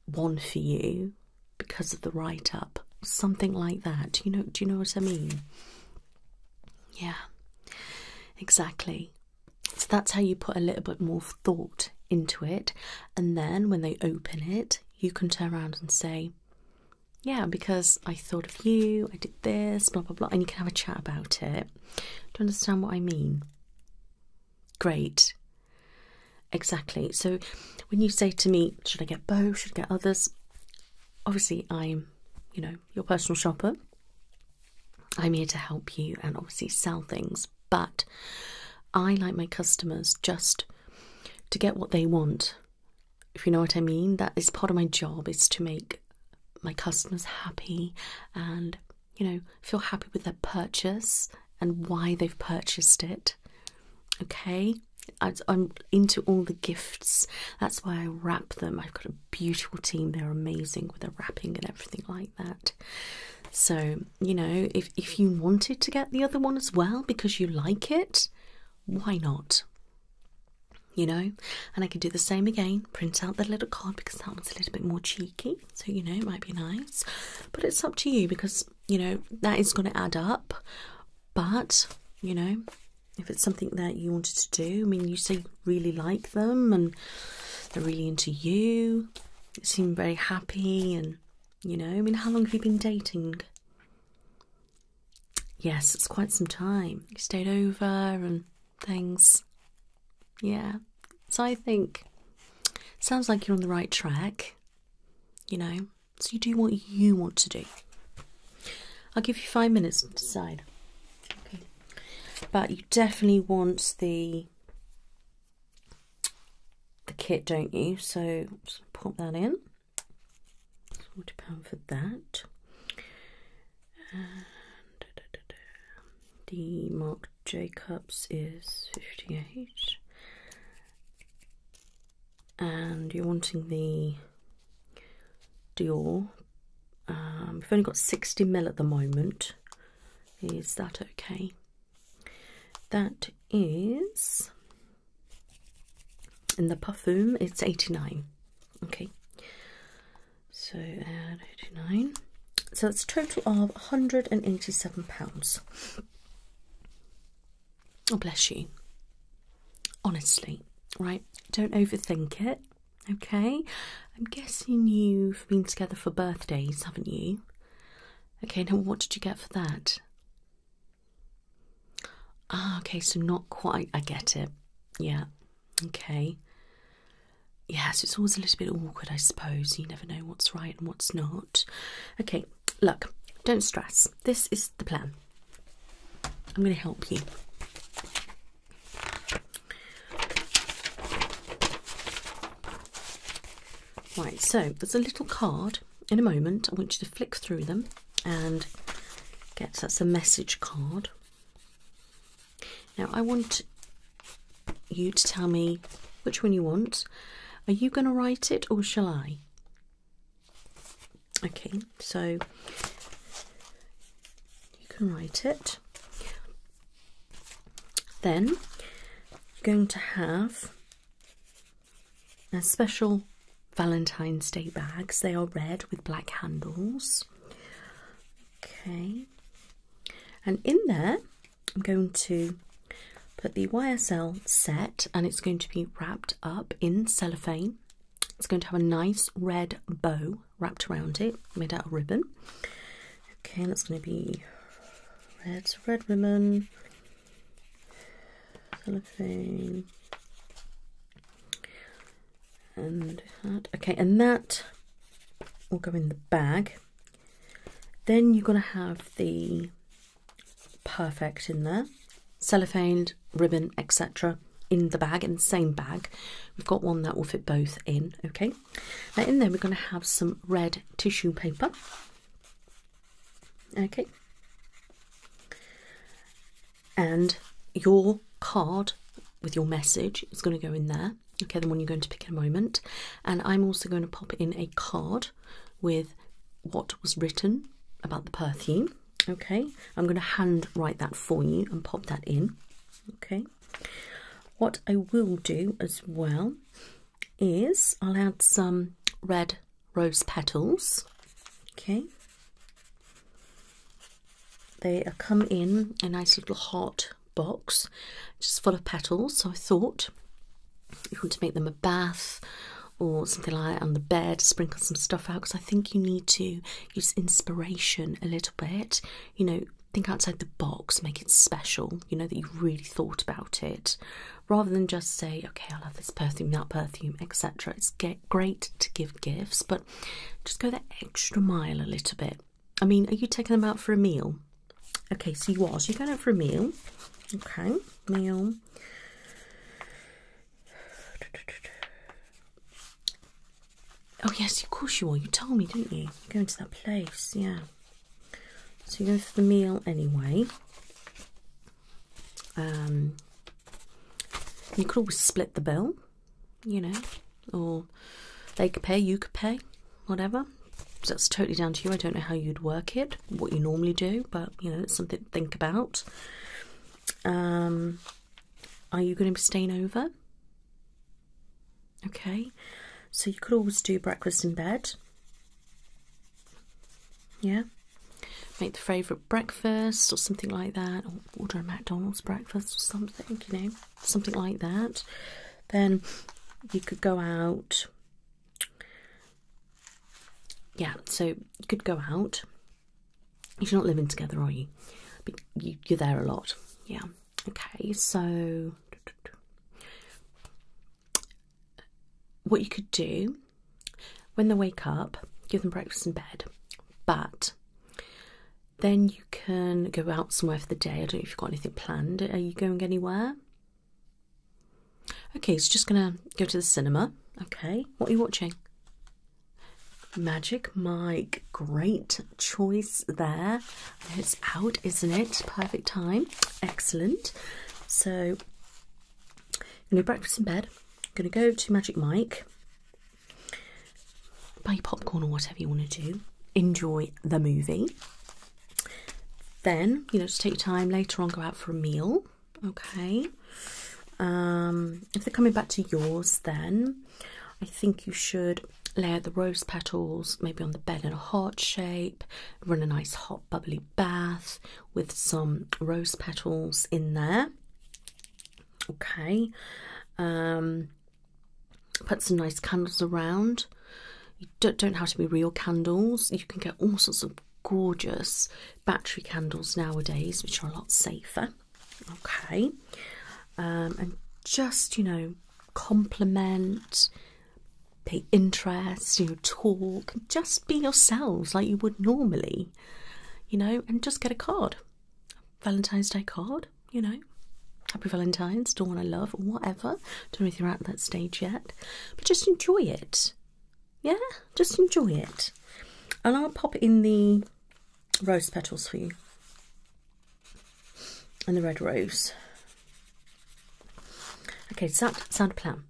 one for you because of the write up, something like that. Do you know, do you know what I mean? Yeah, exactly. So that's how you put a little bit more thought into it, and then when they open it, you can turn around and say, Yeah, because I thought of you, I did this, blah blah blah, and you can have a chat about it. Do you understand what I mean? Great. Exactly. So when you say to me, Should I get both? Should I get others? Obviously, I'm, you know, your personal shopper. I'm here to help you and obviously sell things, but I like my customers just to get what they want. If you know what I mean, that is part of my job is to make my customers happy and you know, feel happy with their purchase and why they've purchased it. Okay? I'm into all the gifts. That's why I wrap them. I've got a beautiful team. They're amazing with their wrapping and everything like that. So, you know, if if you wanted to get the other one as well because you like it, why not? You know, and I can do the same again, print out the little card because that one's a little bit more cheeky, so you know, it might be nice, but it's up to you because you know that is going to add up. But you know, if it's something that you wanted to do. I mean, you say you really like them and they're really into you. You seem very happy and, you know, I mean, how long have you been dating? Yes, it's quite some time. You stayed over and things. Yeah. So I think sounds like you're on the right track. You know, so you do what you want to do. I'll give you five minutes to decide. But you definitely want the the kit, don't you? So just pop that in. Forty pound for that. And da, the Mark Jacobs is fifty-eight. And you're wanting the Dior um, we've only got 60 mil at the moment. Is that okay? That is in the perfume, it's 89. Okay, so add 89. So it's a total of 187 pounds. Oh, bless you. Honestly, right? Don't overthink it. Okay, I'm guessing you've been together for birthdays, haven't you? Okay, now what did you get for that? Ah, okay, so not quite. I get it. Yeah, okay. Yes, it's always a little bit awkward, I suppose. You never know what's right and what's not. Okay, look, don't stress. This is the plan. I'm going to help you. Right, so there's a little card. In a moment, I want you to flick through them and get that's a message card. Now, I want you to tell me which one you want. Are you going to write it or shall I? Okay, so you can write it. Then you're going to have a special Valentine's Day bags. They are red with black handles. Okay, and in there I'm going to put the YSL set and it's going to be wrapped up in cellophane. It's going to have a nice red bow wrapped around it, made out of ribbon. Okay, that's going to be red, red ribbon, cellophane, and that. Okay, and that will go in the bag. Then you're going to have the perfect in there, cellophane, ribbon, etc. in the bag, in the same bag. We've got one that will fit both in, okay? Now, in there, we're going to have some red tissue paper, okay? And your card with your message is going to go in there, okay? The one you're going to pick in a moment. And I'm also going to pop in a card with what was written about the perfume. Okay, I'm going to hand write that for you and pop that in. Okay, what I will do as well is I'll add some red rose petals. Okay. They come in a nice little hot box, just full of petals. So I thought you want to make them a bath or something like on the bed, sprinkle some stuff out because I think you need to use inspiration a little bit. You know, think outside the box, make it special, you know, that you've really thought about it, rather than just say, okay, I will have this perfume, that perfume, etc. It's get great to give gifts, but just go the extra mile a little bit. I mean, are you taking them out for a meal? Okay, so you are. So you're going out for a meal. Okay, meal. Oh yes, of course you are. You told me, didn't you? You're going to that place, yeah. So you are going for the meal anyway. Um, you could always split the bill, you know, or they could pay, you could pay, whatever. that's totally down to you. I don't know how you'd work it, what you normally do, but you know, it's something to think about. Um, are you going to be staying over? Okay, so you could always do breakfast in bed. Yeah, make the favourite breakfast or something like that, or order a McDonald's breakfast or something, you know, something like that. Then you could go out. Yeah, so you could go out. You're not living together, are you? But you, are there a lot. Yeah, okay, so what you could do when they wake up, give them breakfast in bed, but then you can go out somewhere for the day. I don't know if you've got anything planned. Are you going anywhere? Okay, so just gonna go to the cinema. Okay, what are you watching? Magic Mike. Great choice there. It's out, isn't it? Perfect time. Excellent. So, I'm going to breakfast in bed. I'm going to go to Magic Mike. Buy popcorn or whatever you want to do. Enjoy the movie. Then, you know, to take time later on, go out for a meal. Okay. Um, if they're coming back to yours, then I think you should layer the rose petals maybe on the bed in a heart shape, run a nice hot bubbly bath with some rose petals in there. Okay, um, put some nice candles around. You don't, have to be real candles, you can get all sorts of gorgeous battery candles nowadays, which are a lot safer. Okay, um, and just you know, compliment, pay interest, you know, talk, just be yourselves like you would normally, you know, and just get a card. Valentine's Day card, you know. Happy Valentine's, Dawn to Love, whatever. Don't know if you're at that stage yet. But just enjoy it. Yeah? Just enjoy it. And I'll pop in the rose petals for you and the red rose. Okay, sound, sound plan.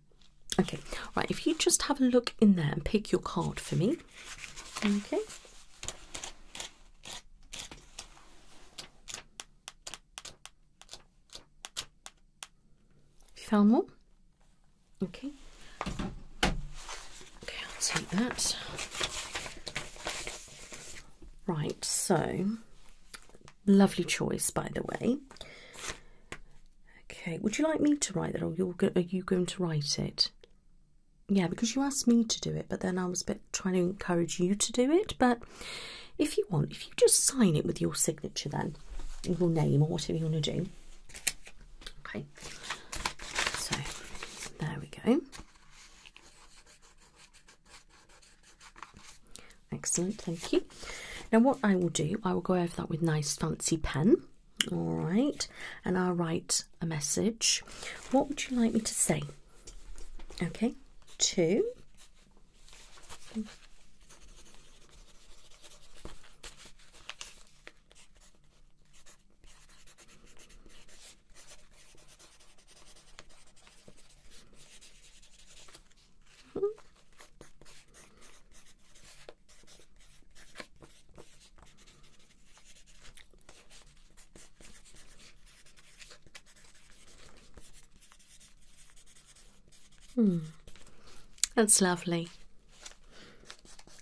Okay, right, if you just have a look in there and pick your card for me. Okay. found more? Okay. Okay, I'll take that. Right, so lovely choice, by the way. Okay, would you like me to write that, or you're you going to write it? Yeah, because you asked me to do it, but then I was trying to encourage you to do it. But if you want, if you just sign it with your signature, then your name or whatever you want to do. Okay, so there we go. Excellent, thank you. Now, what I will do, I will go over that with nice fancy pen, all right, and I'll write a message. What would you like me to say? Okay, two. -hmm. Hmm. That's lovely.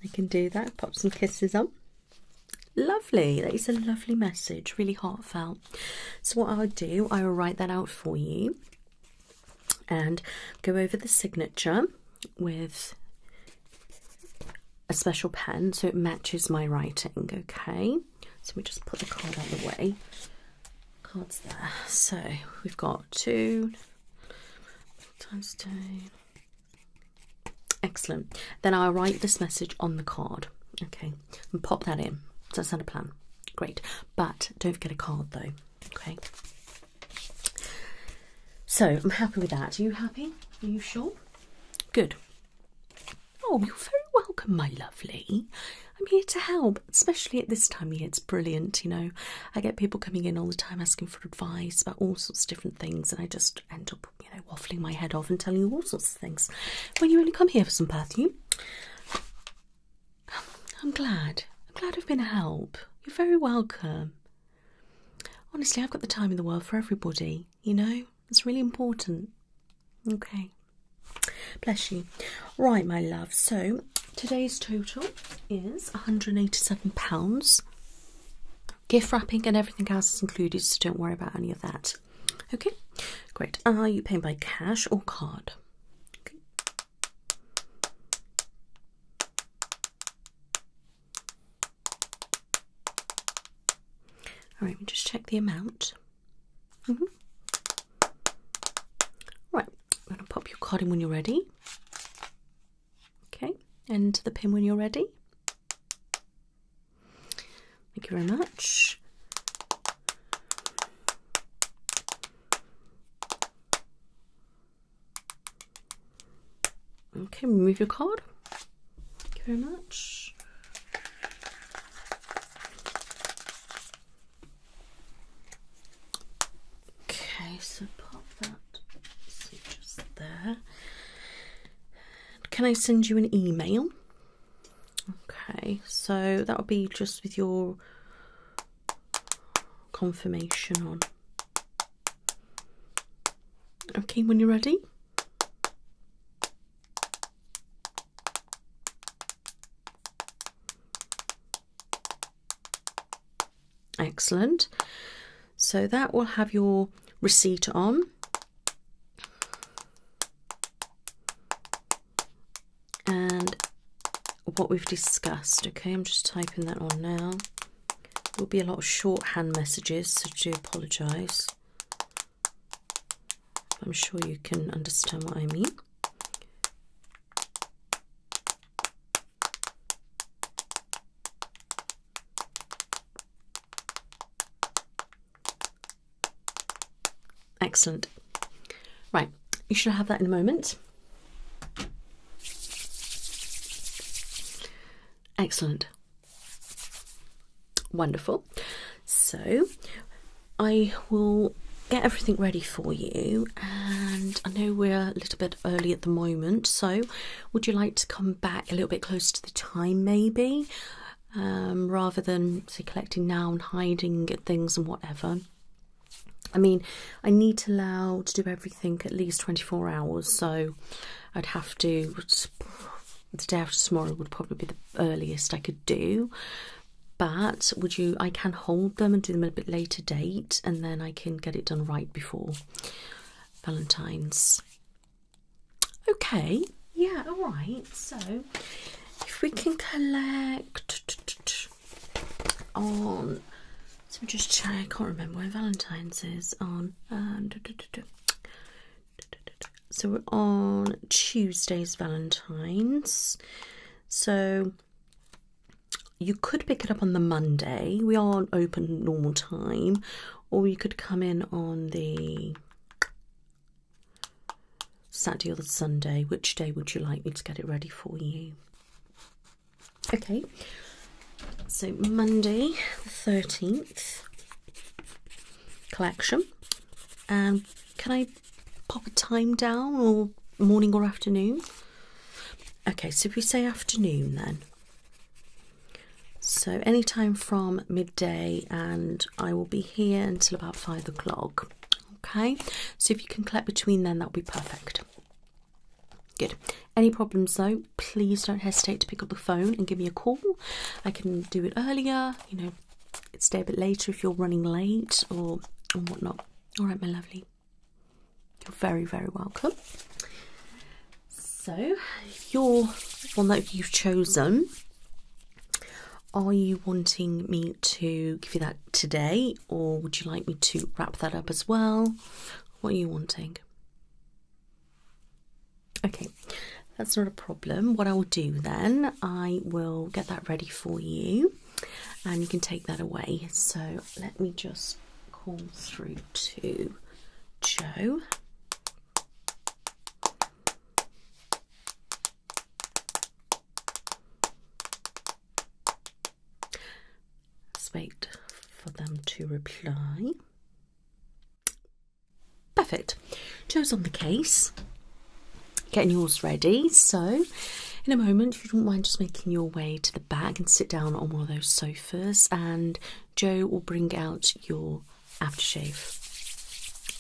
I can do that. Pop some kisses on. Lovely. That is a lovely message, really heartfelt. So, what I'll do, I will write that out for you and go over the signature with a special pen so it matches my writing. Okay, so we just put the card on the way. Cards there. So, we've got two times two. Excellent. Then I'll write this message on the card. Okay, and pop that in. That's that a plan? Great. But don't forget a card though. Okay. So I'm happy with that. Are you happy? Are you sure? Good. Oh, you're very welcome, my lovely. I'm here to help, especially at this time of year. It's brilliant, you know. I get people coming in all the time asking for advice about all sorts of different things, and I just end up you know, waffling my head off and telling you all sorts of things when you only come here for some perfume. I'm glad. I'm glad I've been a help. You're very welcome. Honestly, I've got the time in the world for everybody, you know? It's really important. Okay. Bless you. Right, my love. So today's total is £187. Gift wrapping and everything else is included, so don't worry about any of that. Okay, great. Are you paying by cash or card? Okay. All right, we just check the amount. Mm Right, I'm going to pop your card in when you're ready. Okay, and the pin when you're ready. Thank you very much. Okay, remove your card. Thank you very much. Okay, so pop that just there. Can I send you an email? Okay, so that'll be just with your confirmation on. Okay, when you're ready. Excellent. So that will have your receipt on and what we've discussed. Okay, I'm just typing that on now. There will be a lot of shorthand messages, so do apologise. I'm sure you can understand what I mean. Excellent. Right, you should have that in a moment. Excellent. Wonderful. So I will get everything ready for you and I know we're a little bit early at the moment so would you like to come back a little bit closer to the time maybe um, rather than say collecting now and hiding things and whatever. I mean, I need to allow to do everything at least 24 hours, so I'd have to. The day after tomorrow would probably be the earliest I could do, but would you? I can hold them and do them at a bit later date, and then I can get it done right before Valentine's. Okay, yeah, alright, so if we can collect on let me just I can't remember when Valentine's is on. Um, so we're on Tuesday's Valentine's. So you could pick it up on the Monday. We are open normal time. Or you could come in on the Saturday or the Sunday, which day would you like me to get it ready for you? Okay, so Monday the 13th collection. And um, can I pop a time down or morning or afternoon? Okay, so if we say afternoon then. So any time from midday and I will be here until about five o'clock. Okay, so if you can collect between then, that'll be perfect. Good. Any problems though, please don't hesitate to pick up the phone and give me a call. I can do it earlier, you know, stay a bit later if you're running late or, or whatnot. All right, my lovely. You're very, very welcome. So, if you're one that you've chosen, are you wanting me to give you that today, or would you like me to wrap that up as well? What are you wanting? Okay, that's not a problem. What I will do then, I will get that ready for you and you can take that away. So let me just call through to Joe. Let's wait for them to reply. Perfect. Joe's on the case. Getting yours ready. So, in a moment, if you don't mind just making your way to the back and sit down on one of those sofas, and Joe will bring out your aftershave.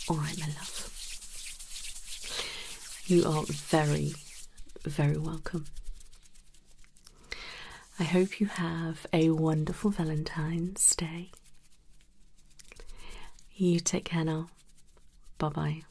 All right, my love. You are very, very welcome. I hope you have a wonderful Valentine's Day. You take care now. Bye bye.